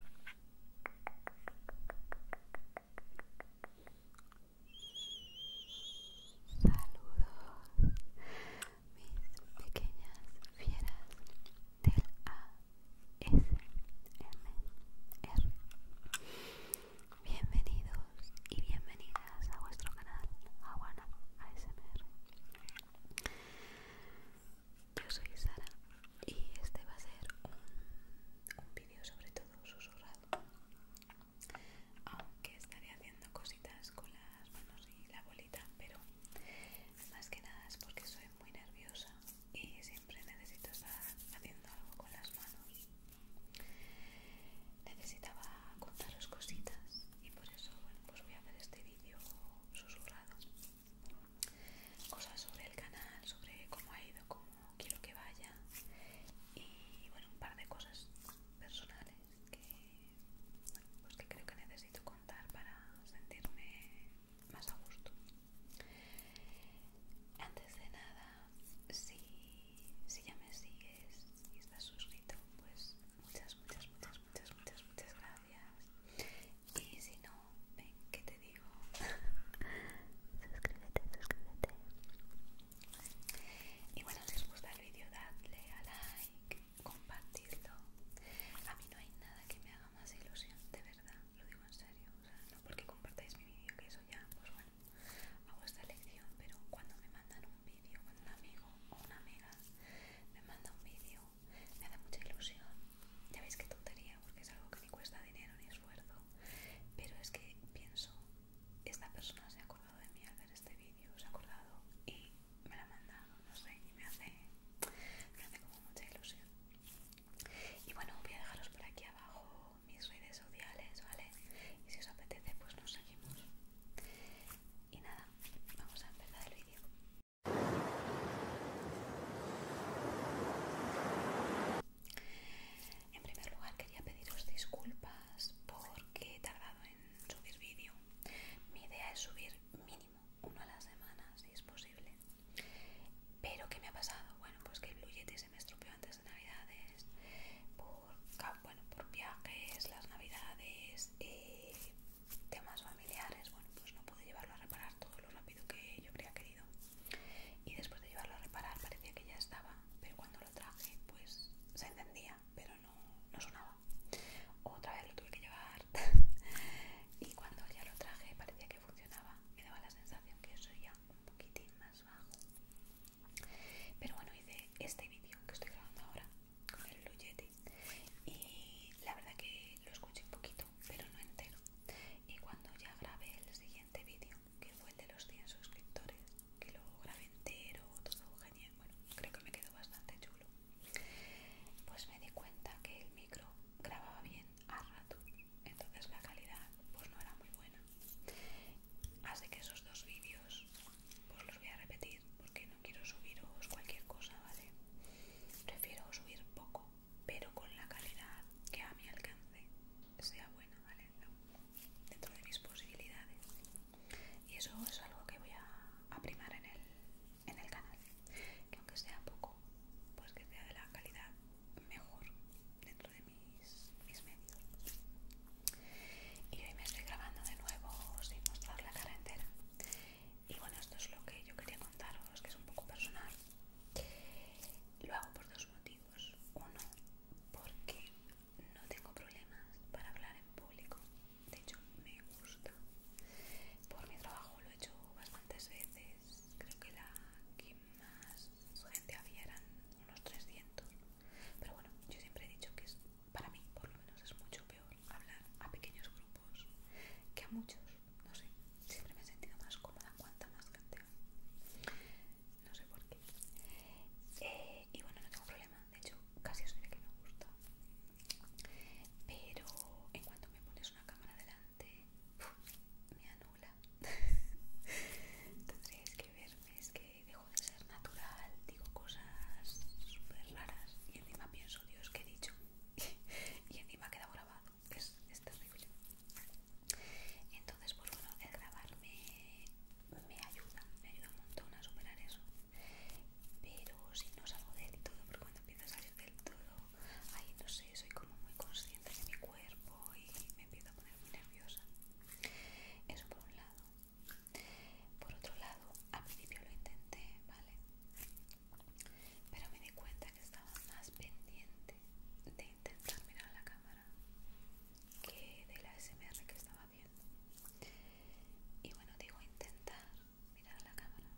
Saludos, mis pequeñas fieras del ASMR. Bienvenidos y bienvenidas a vuestro canal Aguana ASMR. Yo soy Sara y este va a ser un, vídeo sobre todo susurrado. Aunque estaré haciendo cositas con las manos y la bolita, pero más que nada es porque soy muy nerviosa y siempre necesito estar haciendo algo con las manos. Necesitaba contaros cositas y por eso bueno, pues voy a hacer este vídeo susurrado cosas sobre el canal, sobre cómo ha ido, cómo quiero que vaya y bueno, un par de cosas personales que, pues, creo que necesito contar para sentirme más a gusto. Antes de nada, si, ya me sigues y estás suscrito, pues muchas, muchas, muchas, muchas, muchas, muchas gracias. Y si no, ven ¿qué te digo suscríbete suscríbete y bueno si os gusta el vídeo dadle a like compartidlo a mí no hay nada que me haga más ilusión de verdad lo digo en serio o sea no porque compartáis mi vídeo que eso ya pues bueno Hago esta elección pero cuando me mandan un vídeo cuando un amigo o una amiga me manda un vídeo me da mucha ilusión ya veis qué tontería, porque es algo que ni cuesta dinero ni esfuerzo. Pero es que pienso, esta persona se ha acordado de mí al ver este vídeo, se ha acordado y me la ha mandado, no sé, y me hace, me hace como mucha ilusión. Y bueno, voy a dejaros por aquí abajo mis redes sociales, ¿vale? Y si os apetece, pues nos seguimos. Y nada, vamos a empezar el vídeo. En primer lugar quería pediros disculpas porque he tardado en subir vídeo. Mi idea es subir mínimo uno a la semana si es posible. Pero ¿qué me ha pasado? Bueno, pues que el Blue se me estropeó antes de navidades. Por, viajes, las navidades, eh, temas familiares. Bueno, pues no pude llevarlo a reparar todo lo rápido que yo habría querido y después de llevarlo a reparar parecía que ya estaba, pero cuando lo traje pues se encendía, pero no, sonaba. Otra vez lo tuve que llevar y cuando ya lo traje parecía que funcionaba, me daba la sensación que eso un poquitín más bajo. Pero bueno, hice este vídeo que estoy grabando ahora con el Lugetti y la verdad que lo escuché un poquito pero no entero. Y cuando ya grabé el siguiente vídeo, que fue el de los 100 suscriptores, que lo grabé entero, todo genial, bueno, creo que me quedó bastante chulo, pues me di cuenta que el micro grababa bien a rato, entonces la calidad pues no era muy buena. Así que esos dos vídeos pues los voy a repetir porque no quiero subiros cualquier cosa, ¿vale? Prefiero subir poco pero con la calidad que a mi alcance sea buena, Dentro de mis posibilidades. Y eso es algo que voy a, primar en el, canal. Que aunque sea poco, pues que sea de la calidad mejor dentro de mis, mis medios. Y hoy me estoy grabando de nuevo sin mostrar la cara entera. Y bueno, esto es lo que yo quería contaros, que es un poco personal, lo hago por dos motivos. Uno, porque no tengo problemas para hablar en público. De hecho, me gusta. Por mi trabajo lo he hecho bastantes veces. Creo que la que más gente había eran unos 300. Pero bueno, yo siempre he dicho que para mí, por lo menos, es mucho peor hablar a pequeños grupos que a muchos no sé, siempre me he sentido más cómoda cuanta más canteo. no sé por qué eh, y bueno, no tengo problema, de hecho casi diré que me gusta pero en cuanto me pones una cámara delante me anula tendréis que verme, es que dejo de ser natural, digo cosas súper raras y encima pienso, Dios, ¿qué he dicho y encima queda grabado es, pues, terrible entonces pues bueno el grabar me, me ayuda me ayuda un montón a superar eso pero si no salgo del todo porque cuando empiezo a salir del todo ahí no sé soy como muy consciente de mi cuerpo y me empiezo a poner muy nerviosa eso por un lado por otro lado al principio lo intenté vale pero me di cuenta que estaba más pendiente de intentar mirar la cámara que de la SMR que estaba viendo Y bueno, digo intentar mirar a la cámara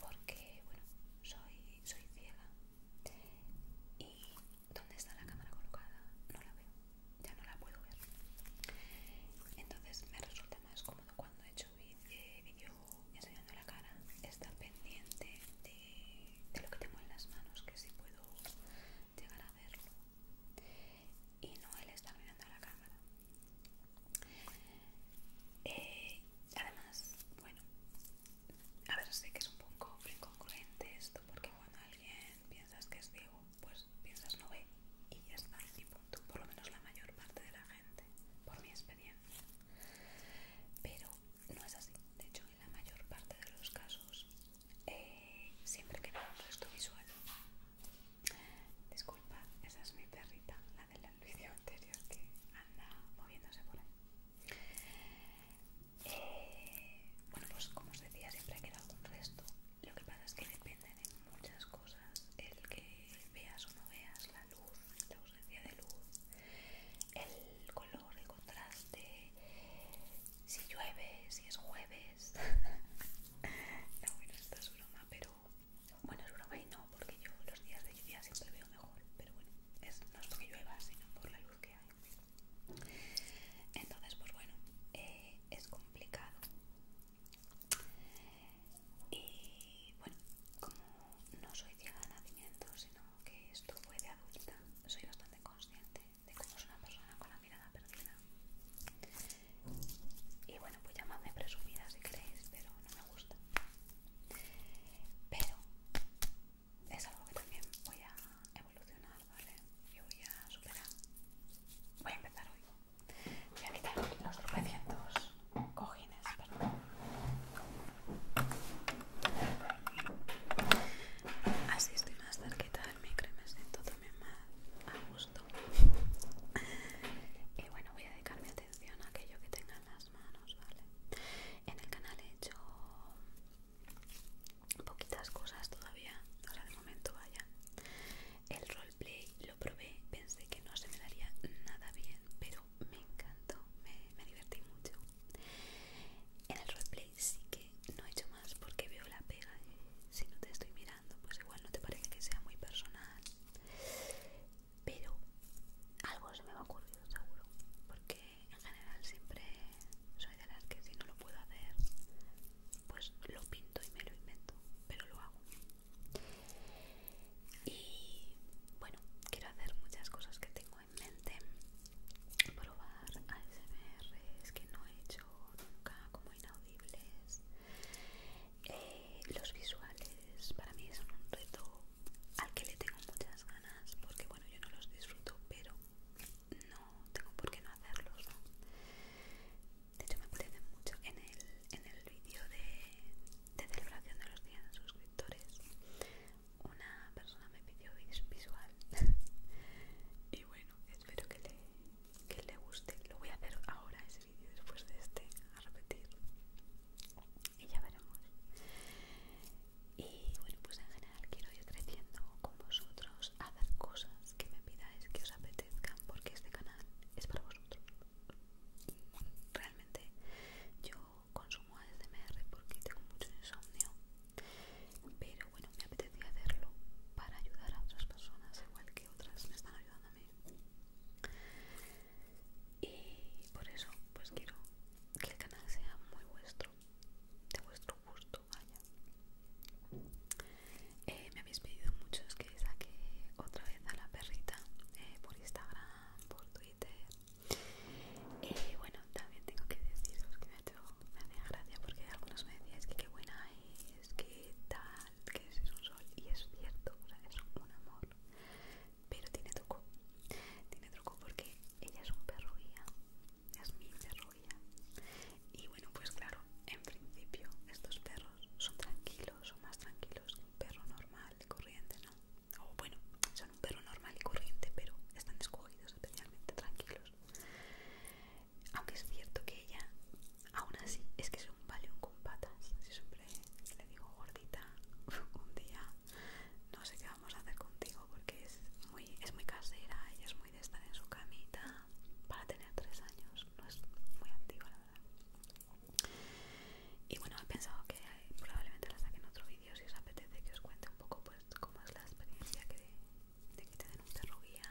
porque, bueno, soy, soy ciega y donde está la cámara colocada no la veo, ya no la puedo ver. Entonces me resulta más cómodo cuando he hecho eh, vídeos y enseñando la cara está pendiente de, lo que tengo en las manos que si puedo llegar a verlo y no él está mirando a la cámara eh, además bueno a ver sé que es un poco incongruente esto porque cuando alguien piensas que es ciego pues piensas no ve y ya está y punto por lo menos la mayor parte de la gente por mi experiencia pero no es así. De hecho, en la mayor parte de los casos, eh, siempre queda un resto visual. Disculpa, esa es mi perrita, la del vídeo anterior que anda moviéndose por ahí. Eh, bueno, pues como os decía, siempre queda un resto. Lo que pasa es que depende de muchas cosas el que veas o no veas la la ausencia de luz, el color, el contraste, si llueve, si es jueves. no, bueno, esto es broma, pero bueno, es broma y no, porque yo los días de lluvia siempre veo mejor, pero bueno, no es porque llueva, sino por la luz que hay. Entonces, pues bueno, eh, es complicado. Y bueno, como no soy ciega de nacimiento, sino que esto fue de adulta, soy bastante consciente de cómo es una persona con la mirada perdida. Y bueno, pues llamadme presumida si queréis, pero no me gusta. Pero es algo que también voy a evolucionar, ¿vale? Y voy a superar. Voy a empezar hoy. Voy a quitar los tropecientos cogidos. Así estoy más cerquita del micro y me siento también más a gusto. y bueno, voy a dedicar mi atención a aquello que tenga en las manos, ¿vale? En el canal he hecho poquitas cosas todavía, o sea, de momento vaya. El roleplay lo probé, pensé que no se me daría nada bien, pero me encantó, me divertí mucho. En el replay sí que no he hecho más porque veo la pega si no te estoy mirando, pues igual no te parece que sea muy personal. Pero algo se me va a ocurrir seguro, porque en general siempre soy de las que si no lo puedo hacer, pues lo pinto y me lo invento, pero lo hago. Y bueno, quiero hacer muchas cosas que tengo en probar ASMRs que no he hecho nunca como inaudibles eh, los visuales para mí son un reto al que le tengo muchas ganas porque bueno yo no los disfruto pero no tengo por qué no hacerlos de hecho me apetece mucho en el, vídeo de, celebración de los 100 suscriptores una persona me pidió visual y bueno espero que le, que le guste lo voy a hacer ahora ese vídeo después de este a repetir y ya veremos y bueno pues en general quiero ir creciendo con vosotros a hacer cosas que me pidáis que os apetezcan porque este canal es para vosotros realmente yo consumo ASMR porque tengo mucho insomnio pero bueno me apetecía hacerlo para ayudar a otras personas igual que otras me están ayudando a mí y por eso pues quiero que el canal sea muy vuestro de vuestro gusto vaya eh, me habéis pedido muchos que saque otra vez a la perrita eh, por Instagram por Twitter y eh, bueno, también tengo que deciros que me ha hecho, me gracia porque algunos me decían que qué buena es, qué tal, que es, un sol y es cierto, o sea, es un amor, pero tiene truco, tiene truco porque ella es un perro guía, es mi perro guía y bueno, pues claro, en principio estos perros son tranquilos, son más tranquilos que un perro normal, corriente, o bueno, son un perro normal y corriente, pero están escogidos especialmente tranquilos. Aunque es cierto que ella, aún así, es que es un valium con patas. siempre le digo, gordita, un día no sé qué vamos a hacer contigo porque es muy, es muy casera, ella es muy de estar en su camita para tener tres años, no es muy activa la verdad. Y bueno, he pensado que probablemente la saque en otro vídeo si os apetece que os cuente un poco pues ¿Cómo es la experiencia que de, que te den un perro guía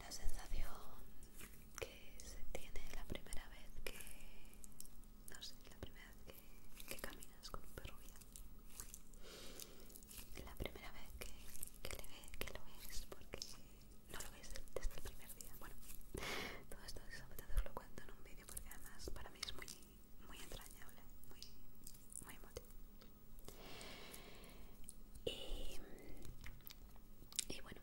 la sensación que se tiene la primera vez que no sé, la primera vez que, caminas con un perro guía la primera vez que, que, lo ves porque no lo ves desde el primer día bueno, todo esto exactamente os lo cuento en un vídeo porque además para mí es muy muy entrañable, muy, emotivo. Y, bueno,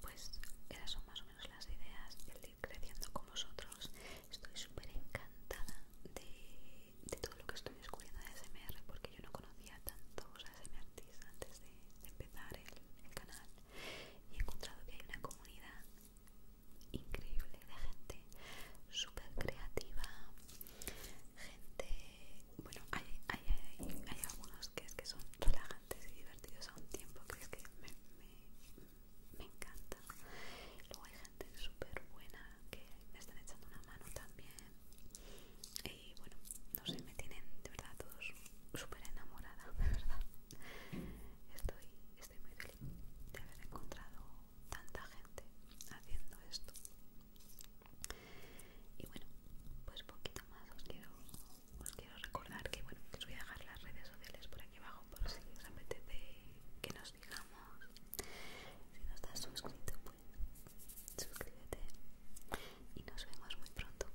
pues eran son más o menos las ideas del creciendo con vosotros. Estoy súper encantada de, todo lo que estoy descubriendo de SMR porque yo no conocía tantos ASMRTs antes de, empezar el canal y he encontrado que hay una comunidad increíble de gente súper creativa gente bueno hay, hay, algunos que son relajantes y divertidos a un tiempo que es que me, me, me encanta luego hay gente súper buena que me están echando una mano también y bueno no sé me tienen de verdad todos súper enamorada de verdad estoy estoy muy feliz de haber encontrado tanta gente haciendo esto. Y bueno, pues poquito más os quiero, recordar que bueno, os voy a dejar las redes sociales por aquí abajo por si os apetece que nos digamos. Si no estás suscrito, pues suscríbete y nos vemos muy pronto.